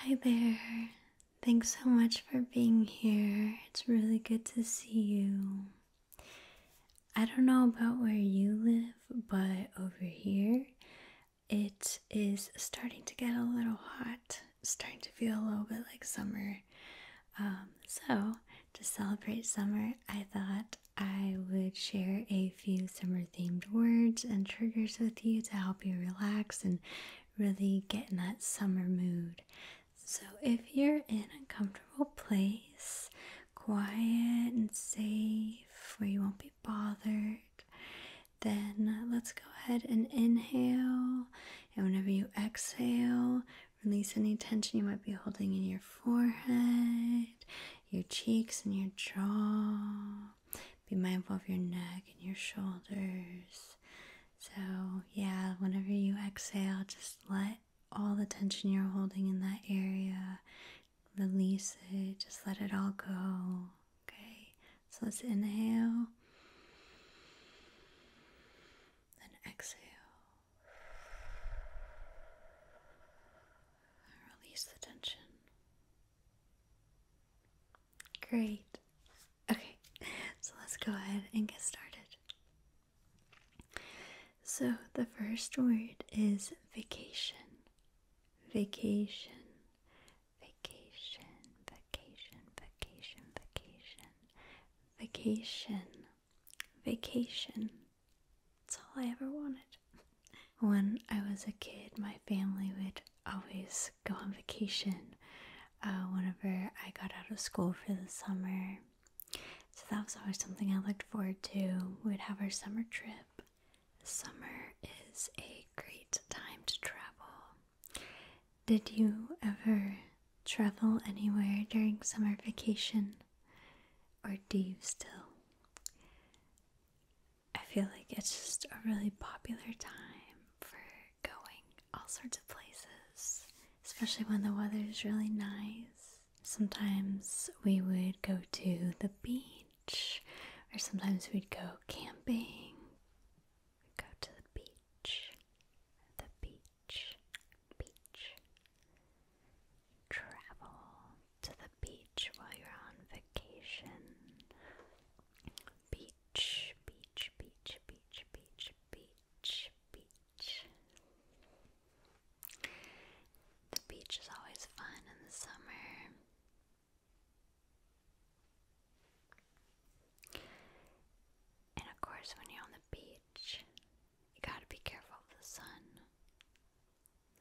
Hi there. Thanks so much for being here. It's really good to see you. I don't know about where you live, but over here it is starting to get a little hot, starting to feel a little bit like summer. Um, so, to celebrate summer, I thought I would share a few summer themed words and triggers with you to help help you relax and really get in that summer mood. So, if you're in a comfortable place, quiet and safe, where you won't be bothered, then let's go ahead and inhale. And whenever you exhale, release any tension you might be holding in your forehead, your cheeks, and your jaw be mindful of your neck and your shoulders. So, yeah, whenever you exhale, just let all the tension you're holding in that area release it, just let it all go. Okay, so let's inhale then exhale. Release the tension. Great. Okay, so let's go ahead and get started. So, the first word is vacation. Vacation. Vacation. Vacation. Vacation. Vacation. Vacation. Vacation. It's all I ever wanted. When I was a kid, my family would always go on vacation uh, whenever I got out of school for the summer. So that was always something I looked forward to. We would have our summer trip. Summer is a great time to travel. Did you ever travel anywhere during summer vacation? Or do you still? I feel like it's just a really popular time for going all sorts of places, especially when the weather is really nice. Sometimes we would go to the beach, or sometimes we'd go camping. go to the beach, the beach, beach. Travel to the beach while you're on vacation. Beach beach, beach, beach, beach, beach, beach, beach. The beach is always fun in the summer. And of course, when you're on the beach, you gotta be careful of the sun.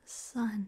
The sun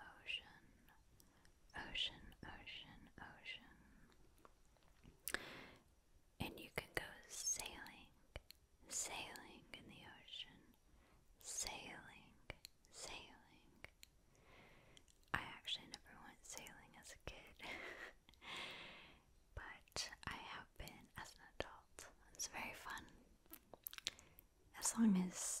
ocean, ocean, ocean, ocean. And you can go sailing, sailing in the ocean, sailing, sailing. I actually never went sailing as a kid, but I have been as an adult. It's very fun. As long as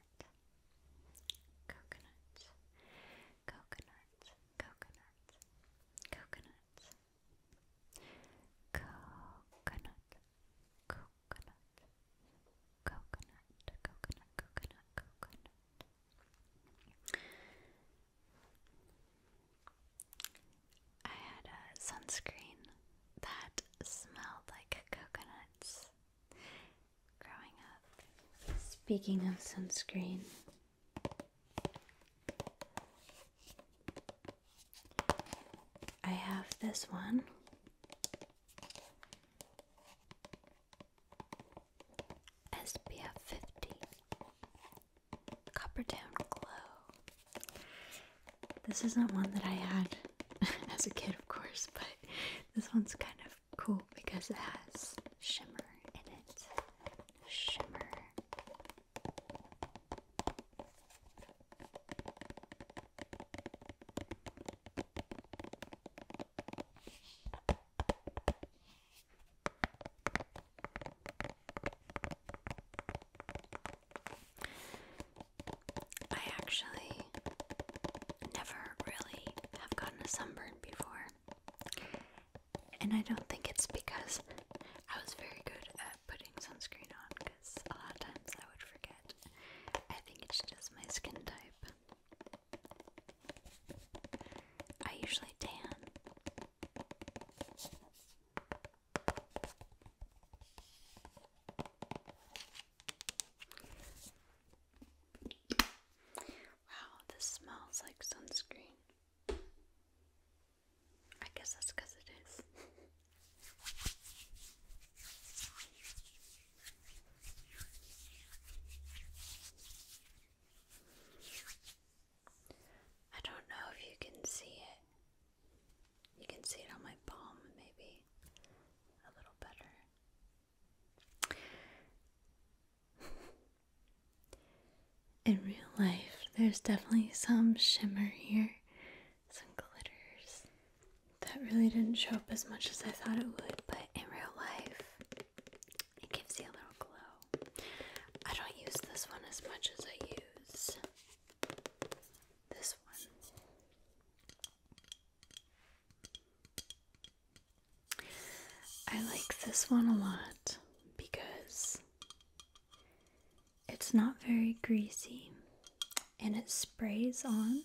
coconut, coconut, coconut, coconut, coconut, coconut, coconut, coconut, coconut, coconut, coconut. I had a sunscreen that smelled like coconuts growing up. Speaking of sunscreen, I have this one. SPF 50 Copperdown Glow. This isn't one that I had as a kid, of course, but this one's kind of cool because it has shimmer in it. Shimmer. I actually never really have gotten a sunburn before. And I don't think it's because I was very good at putting sunscreen on, because a lot of times I would forget. I think it just does my skin type. I usually tan. Wow, this smells like sunscreen. I guess that's because it is. I don't know if you can see it. You can see it on my palm, maybe a little better. In real life, there's definitely some shimmer here, some glitters. That really didn't show up as much as I thought it would, but in real life, it gives you a little glow. I don't use this one as much as I use this one. I like this one a lot because it's not very greasy and it sprays on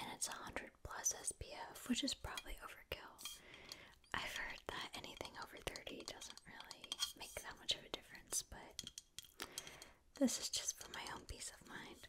and it's 100 plus SPF, which is probably overkill. I've heard that anything over 30 doesn't really make that much of a difference, but this is just for my own peace of mind.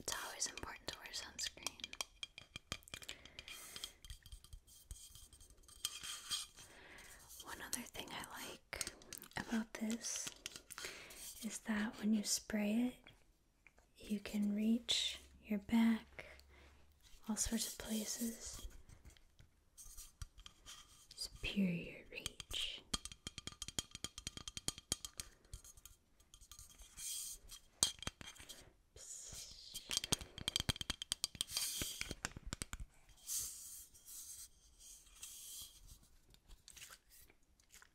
It's always important to wear sunscreen. One other thing I like about this is that when you spray it, you can reach your back, all sorts of places. Superior reach.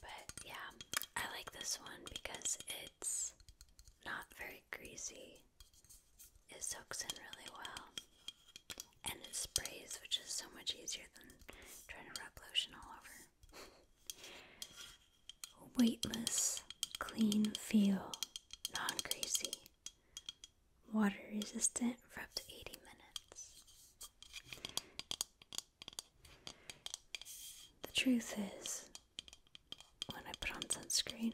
But yeah, I like this one because it's not very greasy. It soaks in really well. And it sprays, which is so much easier than trying to rub lotion all over. Weightless, clean feel, non greasy water resistant for up to 80 minutes. The truth is, when I put on sunscreen,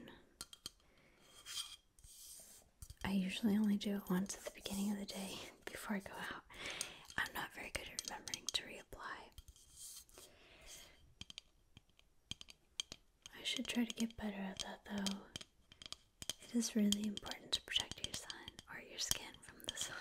I usually only do it once at the beginning of the day before I go out. I'm not very good at remembering to reapply. I should try to get better at that though. It is really important to protect your sun or your skin from the sun.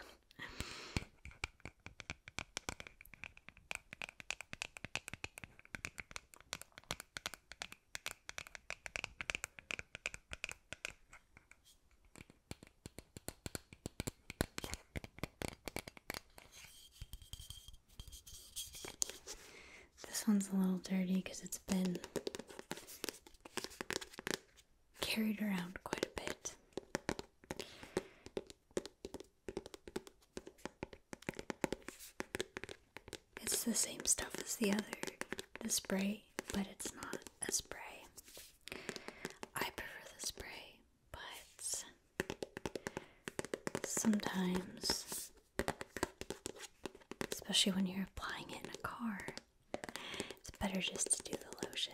This one's a little dirty because it's been carried around quite a bit. It's the same stuff as the other, the spray, but it's not a spray. I prefer the spray, but sometimes, especially when you're applying it in a car, it's better just to do the lotion.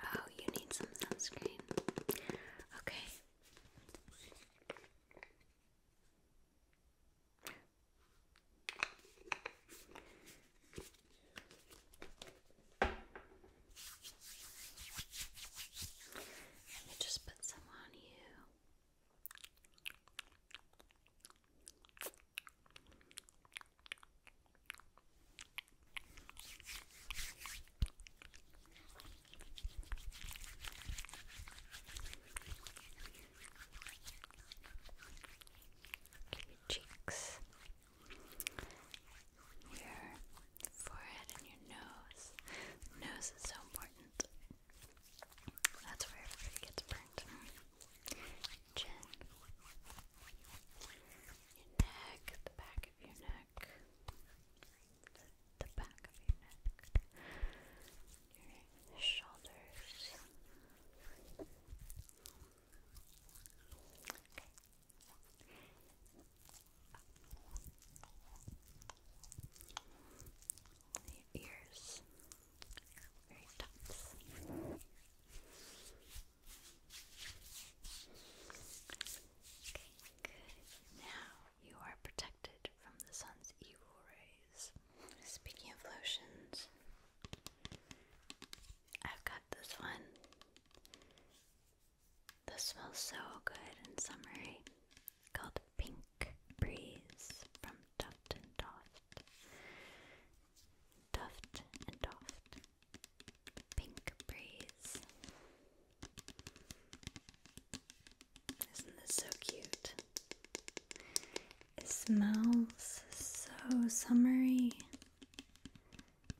Oh, you need some sunscreen. Okay. Let me just put some on you. cheeks your forehead and your nose. Nose is so important. That's where everybody gets burnt. Chin. Your neck, the back of your neck. The back of your neck. Your shoulders. Your ears, very tops. Okay, good. Now you are protected from the sun's evil rays. Speaking of lotions, I've got this one. This smells so good and summery. called Pink Breeze from Duft and Doft. Duft and Doft. Pink Breeze. Isn't this so cute? It smells so summery.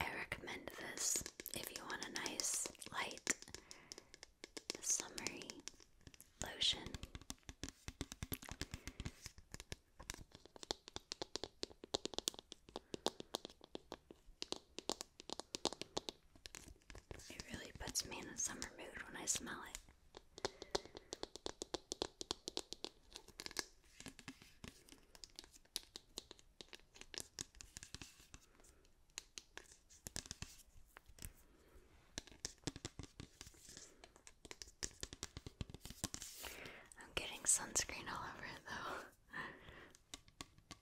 I recommend this if you want a nice, light, summery lotion. It really puts me in a summer mood when I smell it. I'm getting sunscreen all over it though.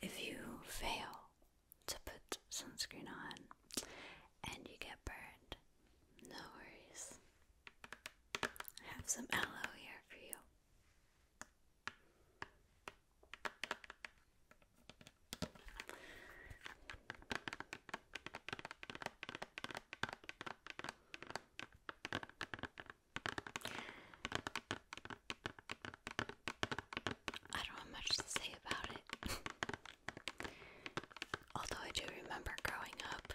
If you fail to put sunscreen on and you get burned, no worries. I have some aloe here for you. I don't have much to say about it. Although I do remember growing up,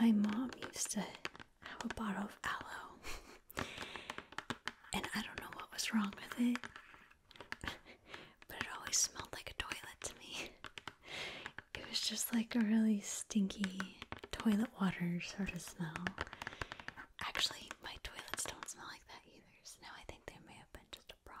my mom used to have a bottle of aloe, and I don't know what was wrong with it but it always smelled like a toilet to me. it was just like a really stinky toilet water sort of smell. Actually, my toilets don't smell like that either, so now I think there may have been just a problem.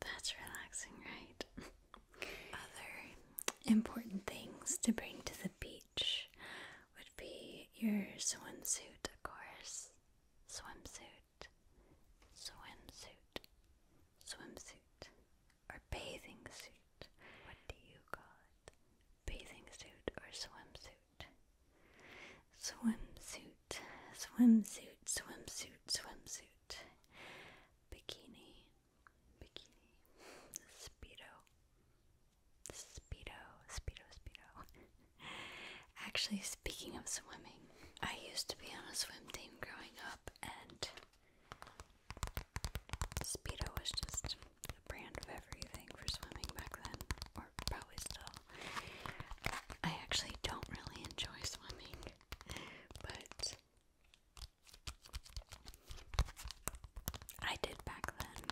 That's relaxing, right? Other important things to bring to the beach would be your swimsuit, of course. Swimsuit, swimsuit, swimsuit, or bathing suit. What do you call it? Bathing suit or swimsuit? swimsuit, swimsuit, swimsuit, swimsuit, bikini, bikini, speedo, speedo, speedo, speedo. Actually, speaking of swimming, I used to be on a swim team growing up, and Speedo was just the brand of everything for swimming back then, probably still. I actually don't really enjoy swimming, but I did back then.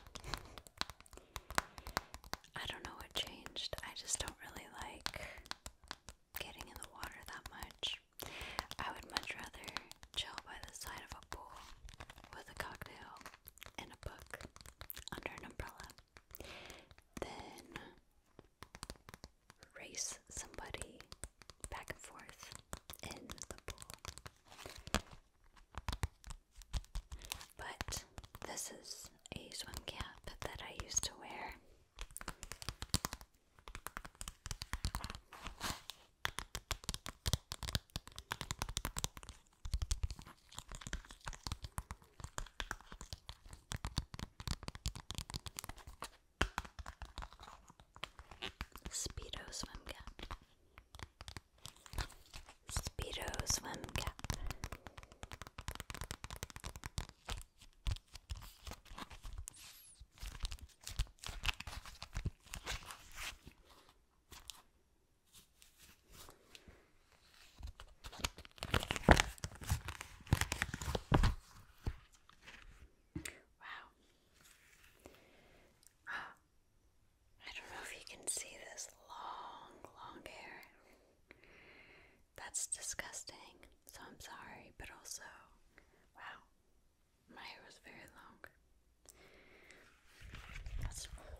I don't know what changed. I just don't really like getting in the water that much. I would much rather chill by the side of a pool with a cocktail and a book under an umbrella then race somebody back and forth in the pool. But this is a swim cap that I used to wear. Speedo swim cap. Speedo swim cap. Wow. Oh, I don't know if you can see this long, long hair. That's disgusting, so I'm sorry, but also, wow, my hair was very long. That's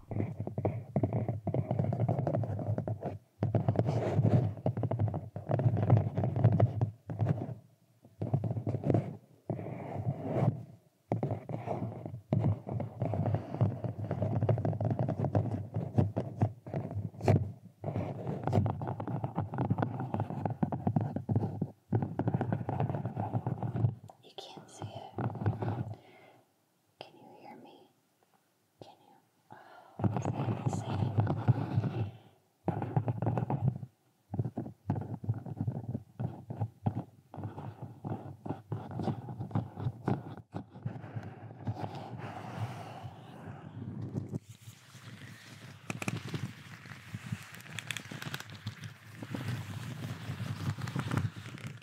You can't see it. Can you hear me? Can you? Oh, is that insane?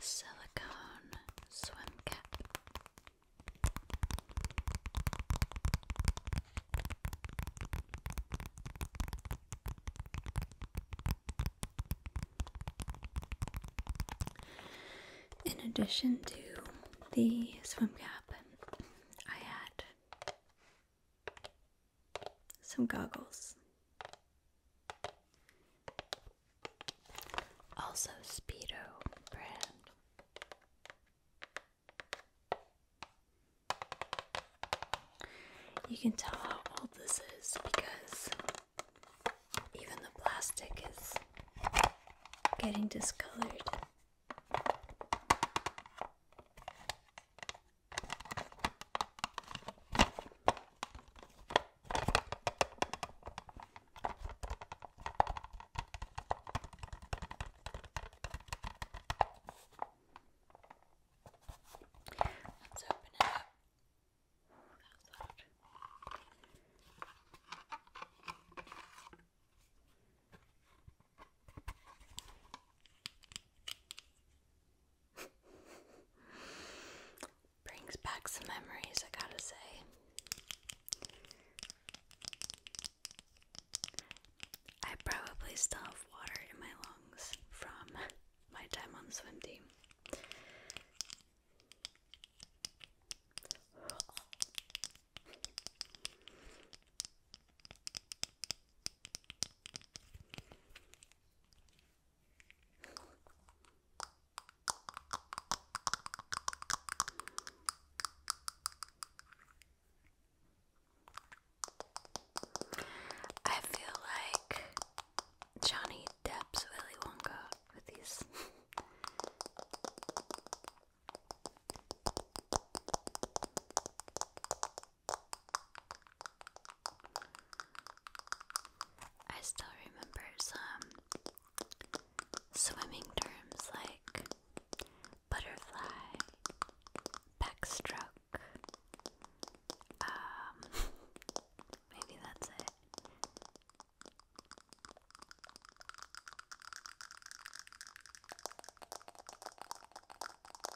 Silicone swim cap. In addition to the swim cap, I had some goggles. Also, Speedo brand. You can tell how old this is because even the plastic is getting discolored. Let's open it up. Oh, that was loud. Brings back some memories, I gotta say. I probably still have water in my lungs from my time on swim team. I feel like Johnny Depp's Willy Wonka with these. I still remember some swimming terms like butterfly, backstroke. Um, maybe that's it.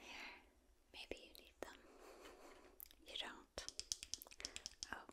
Here, maybe you need them. You don't. Oh.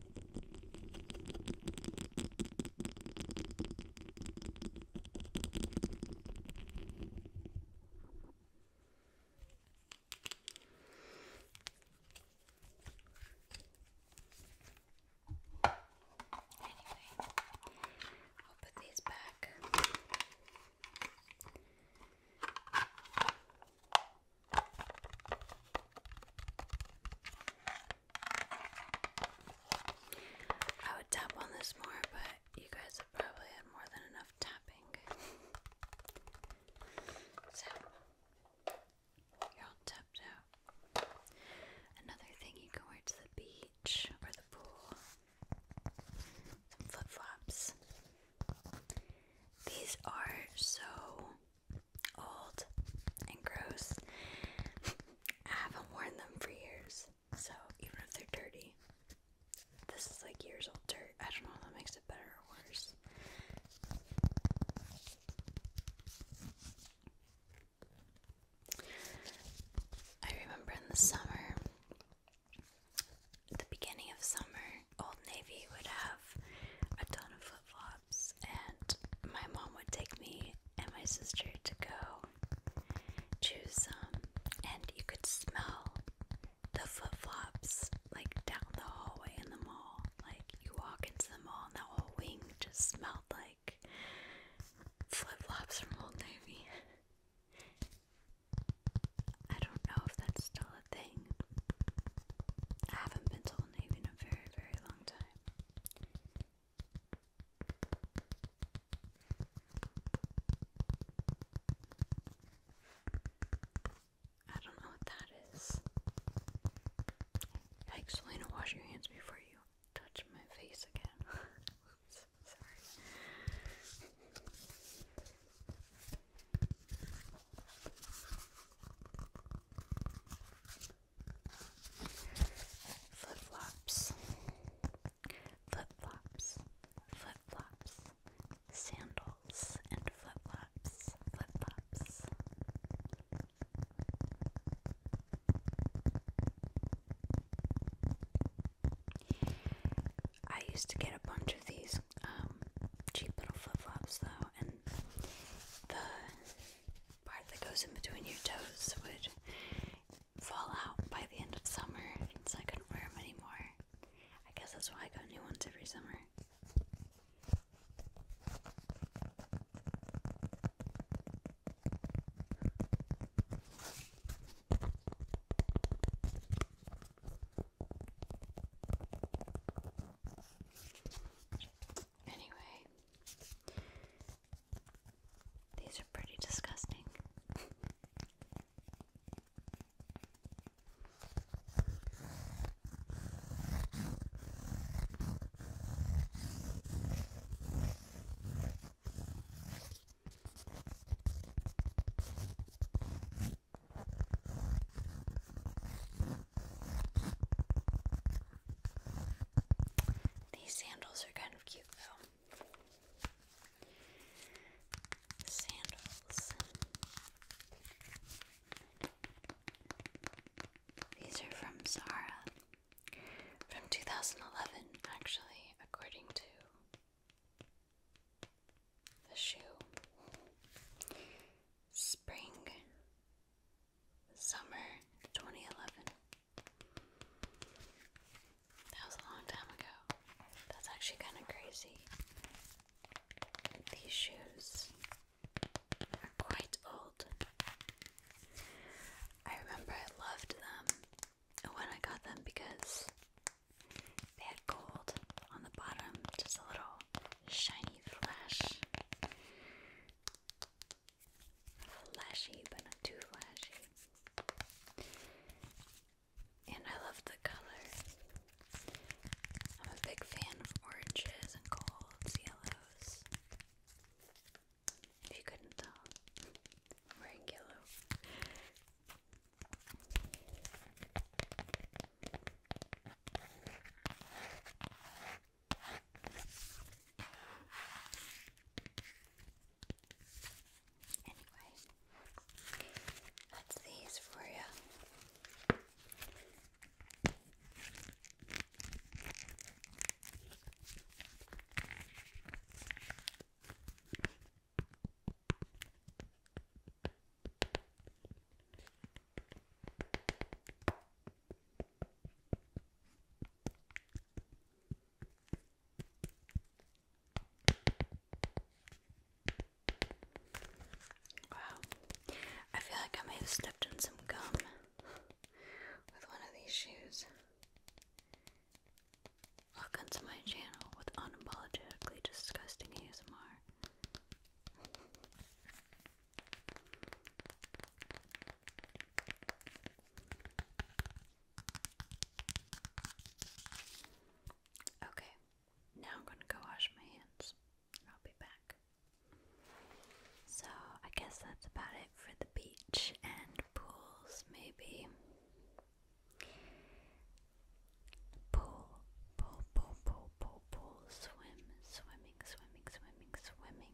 Anyway, I'll put these back. I would tap on this more, but you guys have probably had more than enough tapping. so, you're all tapped out. Another thing you can wear to the beach or the pool some flip flops. These are so old and gross. I haven't worn them for years, so even if they're dirty, this is like years old dirt. I don't know if that makes it better or worse. I remember in the summer, the beginning of summer, Old Navy would have a ton of flip flops, and my mom would take me and my sister to go choose some, and you could smell the flip flops like down the hallway in the mall. Like you walk into the mall, and that whole wing just smelled like flip flops from Old Navy. I don't know if that's still a thing, I haven't been to the Navy in a very, very long time. I don't know what that is. Yikes, Lena, wash your hands before you touch my face again. Oops, sorry. Flip flops, flip flops, flip flops, sandals and flip flops, flip flops. I used to get a bunch of these um, cheap little flip flops though, and the part that goes in between your toes would fall out by the end of summer, so I couldn't wear them anymore. I guess that's why I got new ones every summer. Anyway, these are pretty disgusting. These sandals are kind of cute though. Sandals. These are from Zara from 2011, actually, according to the shoe. Spring summer 2011. That was a long time ago. That's actually kind of crazy. These shoes are quite old. I remember I loved them when I got them because they had gold on the bottom, just a little shiny flash flashy, but not too flashy. And I love the color. I'm a big fan of oranges and golds, yellows. If you couldn't tell, I'm wearing yellow. Anyway, that's these for you. Wow, I feel like I may have stepped in some gum with one of these shoes. Welcome to my channel with unapologetically disgusting ASMR. Okay, now I'm going to go wash my hands. I'll be back. So, I guess that's about it for the beach and pools, maybe. Pool, pool, pool, pool, pool, pool, swim, swimming, swimming, swimming, swimming,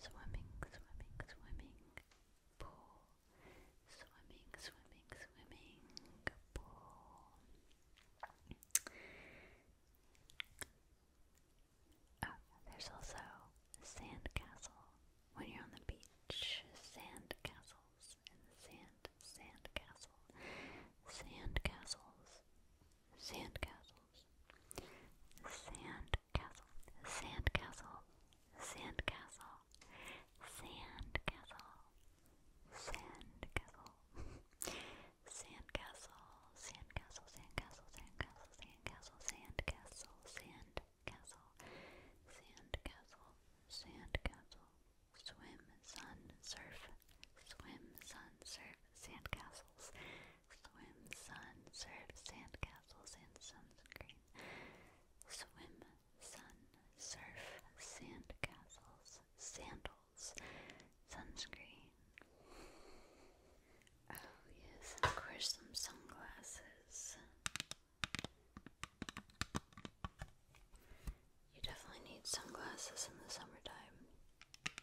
swimming, swimming, swimming, pool, swimming, swimming, swimming, pool. Oh, there's also a When you're on the beach, sand castles sand, sand castle, sand sand Sandcastle, sandcastle, sandcastle, sandcastle, sandcastle, sandcastle, sandcastle, sandcastle, sandcastle, sandcastle, sandcastle, sandcastle, sandcastle, sandcastle, swim, sun, surf, swim, sun, surf, sandcastles. Swim, sun, surf, sandcastles, and sunscreen. Swim, sun, surf, sandcastles, sandals, sunscreen. Oh, yes, of course, some sunglasses. You definitely need sunglasses in the summertime.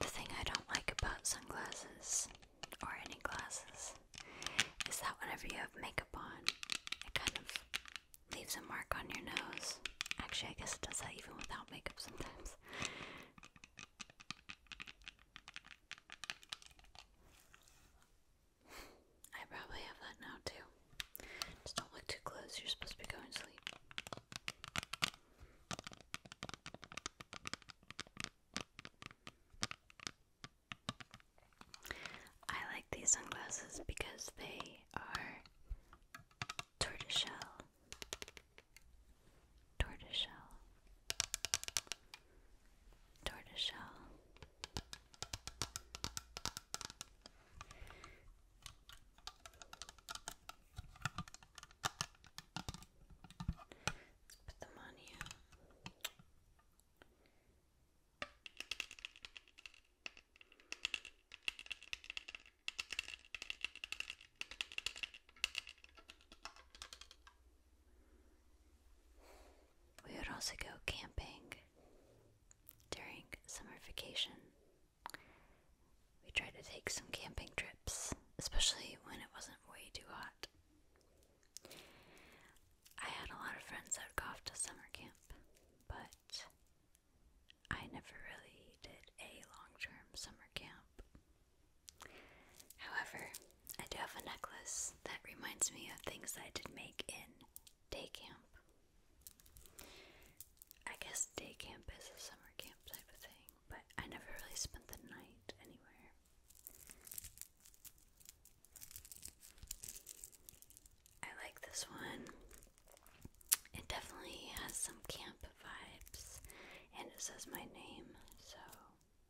The thing I don't like about sunglasses or any glasses is that whenever you have makeup on, it kind of leaves a mark on your nose. Actually, I guess it does that even without makeup sometimes. I probably have that now too. Just don't look too close, you're supposed to be going to sleep. I like these sunglasses because they are tortoiseshell tortoiseshell, tortoiseshell, put them on you. We would also go camping during summer vacation. We tried to take some camping trips, especially when it wasn't way too hot. I had a lot of friends that would go off to summer camp, but I never really did a long term summer camp. However, I do have a necklace that reminds me of things I did make in day camp. I guess day camp is a summer camp type of thing, but I never really spent the night anywhere. I like this one. It definitely has some camp vibes, and it says my name, so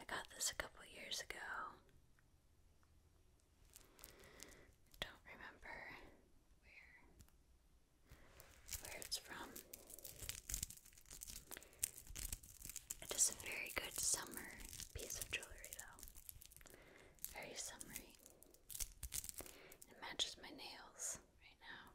I got this a couple years ago. Don't remember where where it's from. It is a very good summer piece of jewelry though. Very summery. It matches my nails right now.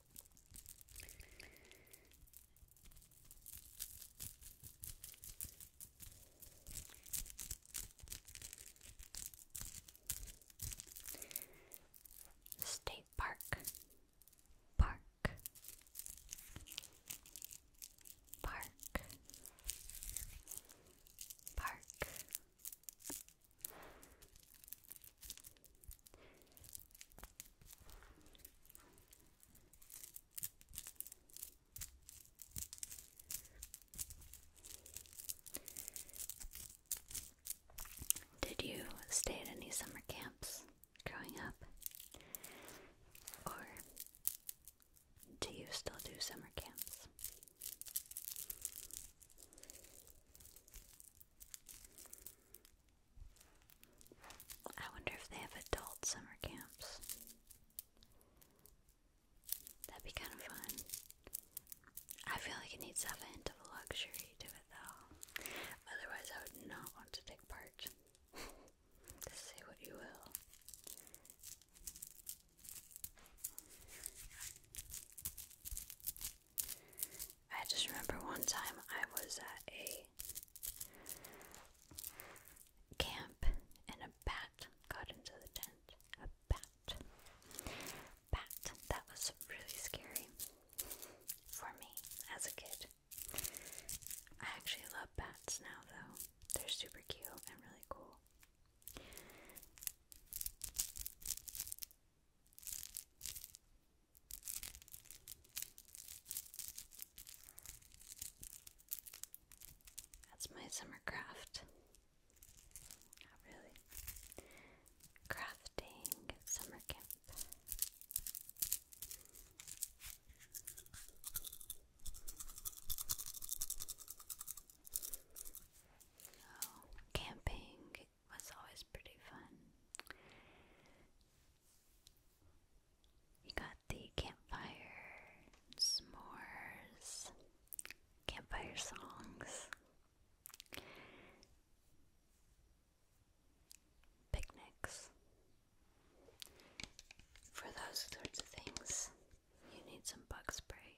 State Park, Park, Park, Park, did you stay at any summer camps growing up? Or do you still do summer camps? I wonder if they have adult summer camps. That'd be kind of fun. I feel like it needs to have a hint of luxury to it though. Otherwise, I would not want to take part. say what you will. I just remember one time I was at a camp and a bat got into the tent. A bat. Bat. That was really scary for me as a kid. I actually love bats now though. They're super cute and really cool. That's my summer craft. Not really. Crafting summer camp. Oh, camping it was always pretty fun. You got the campfire, s'mores, campfire songs, picnics. For those sorts of things, you need some bug spray.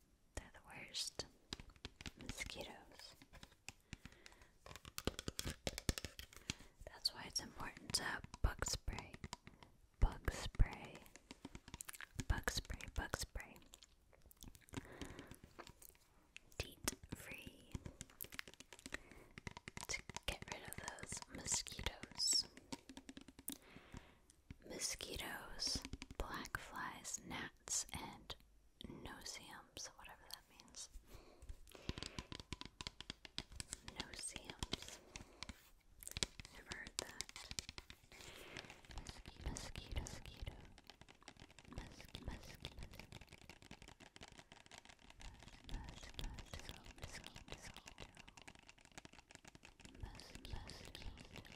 they're the worst mosquitoes. That's why it's important to have bug spray. Bug spray. Bug spray, bug spray. Teat free. To get rid of those mosquitoes mosquitoes, black flies, gnats, and noceums, whatever that means. Noceums. Never heard that. Mosquito, mosquito, mosquito. Mosquito, mosquito. Mosquito, mosquito, mosquito. Mosquito, mosquito.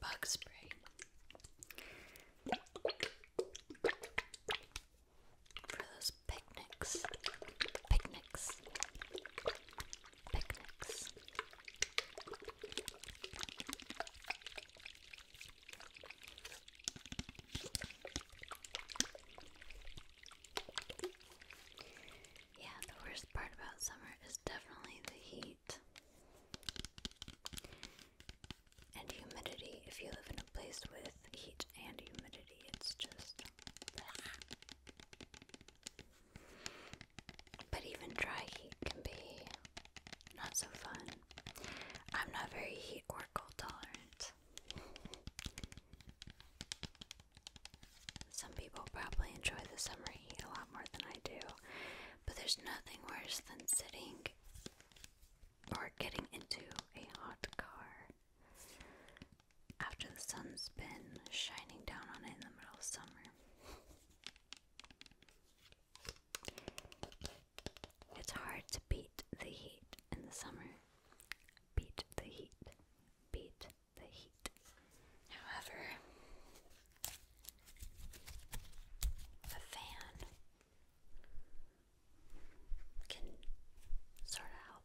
Bug spray. For those picnics. Picnics. Picnics. Yeah, the worst part about summer is definitely the heat and humidity. If you live in a place with heat and humidity, it's just. But even dry heat can be not so fun. I'm not very heat or cold tolerant. Some people probably enjoy the summer heat a lot more than I do, but there's nothing worse than sitting or getting into a hot car after the sun's been shining down on it in the middle of summer. It's hard to beat the heat in the summer. Beat the heat. Beat the heat. However, the fan can sort of help.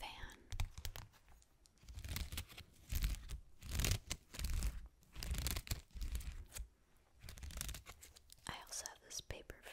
Fan. I also have this paper fan.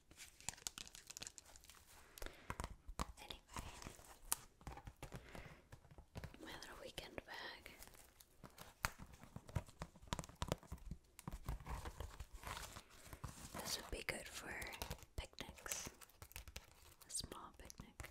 Anyway, weekend bag. This would be good for picnics, a small picnic.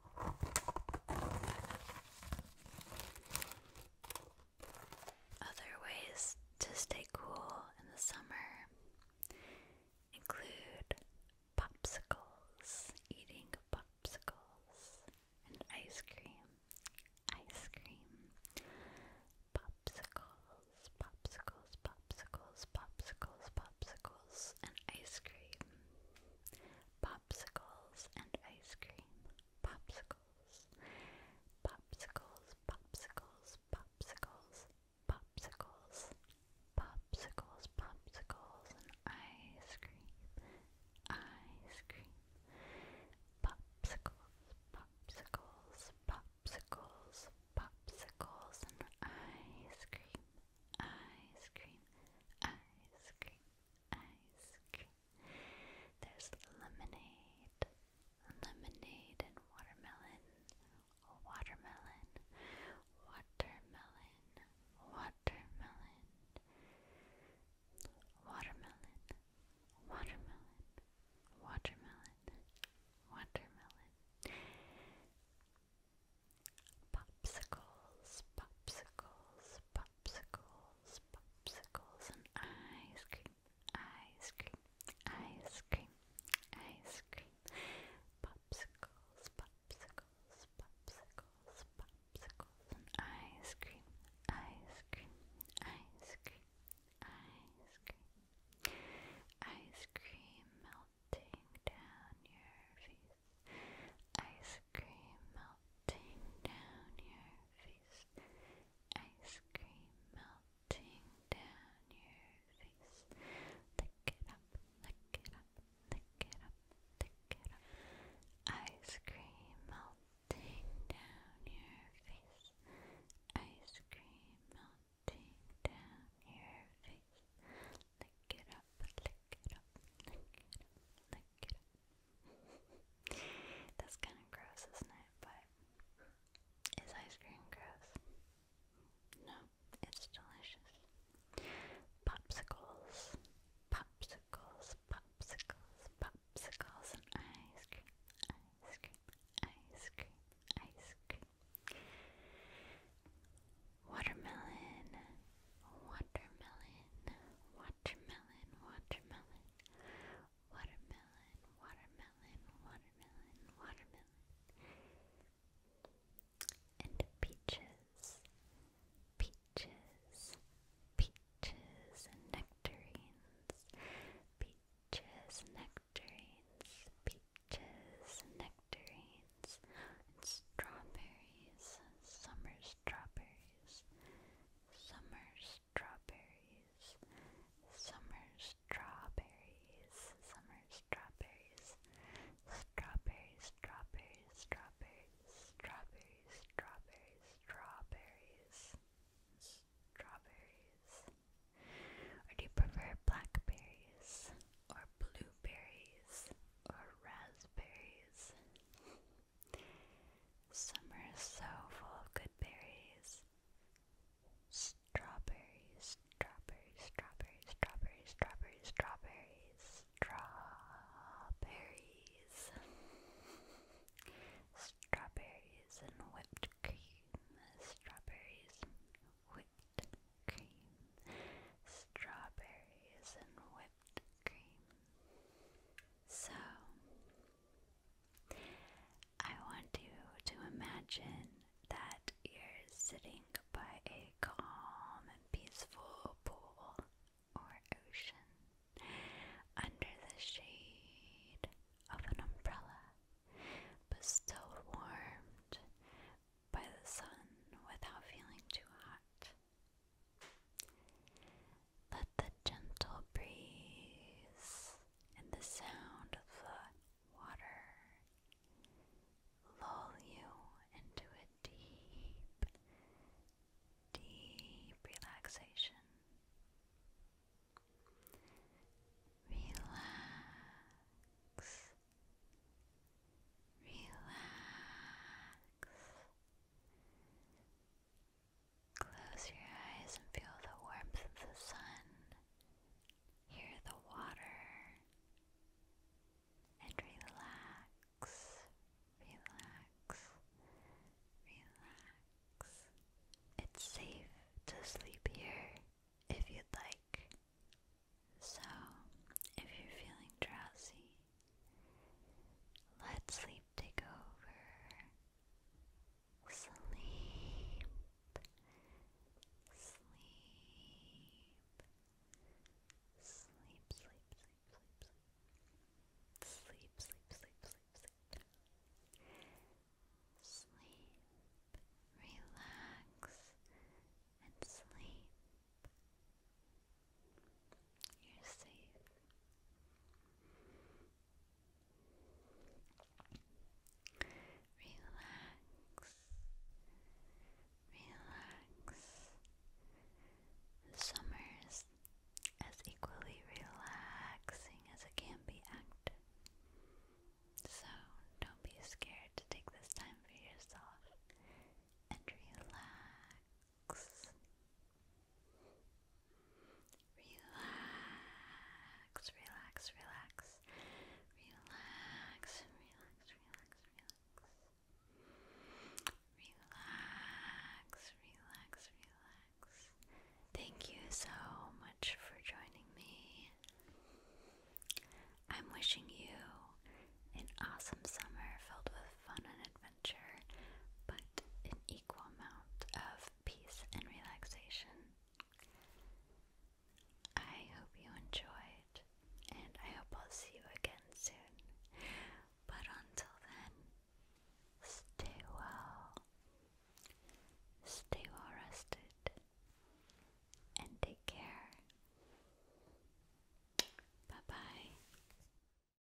Other ways to stay cool in the summer include popsicles, eating popsicles, and ice cream, ice cream, popsicles, popsicles, popsicles, popsicles, popsicles, and ice cream popsicles and ice cream. Popsicles. Popsicles, popsicles, popsicles, popsicles. Popsicles, popsicles, and ice cream. Ice cream. Popsicles, popsicles, popsicles, popsicles, and ice cream. Ice cream, ice cream, ice There's lemonade, lemonade and watermelon, watermelon, watermelon, watermelon, watermelon, watermelon, watermelon, watermelon popsicles, popsicles, popsicles, popsicles, and ice cream, ice cream, ice cream, ice cream, popsicles, popsicles, popsicles, popsicles, and ice cream, ice cream, ice cream, ice cream, ice cream melting down your face. Ice cream melting down your face. Ice cream melting down your face. Lick it up, lick it up, lick it up, lick it up. Ice cream melting down your face. Ice cream melting down your face. Lick it up, lick it up, lick it up, lick it up. That's kind of gross, isn't it? But is ice cream gross? No, it's delicious. Popsicles, popsicles, popsicles, popsicles, and ice cream, ice cream, ice cream, ice cream. Watermelon, Watermelon, watermelon, watermelon, watermelon, watermelon, watermelon, watermelon, and peaches, peaches, peaches and nectarines, peaches, nectarines, peaches, nectarines, and strawberries, summer strawberries, summer strawberries, summer strawberries, summer strawberries, strawberries, strawberries, strawberries, strawberries, strawberries, strawberries, Or do you prefer blackberries or blueberries or raspberries? Summer is so full of good berries. Strawberries, strawberries, strawberries, strawberries, strawberries, strawberries, strawberries. Strawberries and whipped cream. Strawberries, whipped cream. Strawberries and whipped so, I want you to imagine that you're sitting by a calm and peaceful pool or ocean under the shade of an umbrella, but still warmed by the sun without feeling too hot. Let the gentle breeze and the sound of the water lull you into a deep, deep relaxation. Relax. Relax. Close your eyes and feel the warmth of the sun. Hear the water. And relax, relax, relax. It's safe to sleep here if you'd like. So, if you're feeling drowsy, let sleep take over. Sleep. Sleep. Sleep, sleep, sleep, sleep, sleep. Sleep, sleep, sleep, sleep, sleep. Sleep. Relax and sleep. You're safe. Relax. Relax. Summer as equally relaxing as it can be active. So don't be scared to take this time for yourself and relax. Relax, relax, relax. Relax, relax, relax, relax. Relax, relax, relax. Thank you so much for joining me. I'm wishing you an awesome summer filled with fun and adventure, but an equal amount of peace and relaxation. I hope you enjoyed, and I hope I'll see you again soon. But until then, stay well, stay well rested, and take care. Bye bye.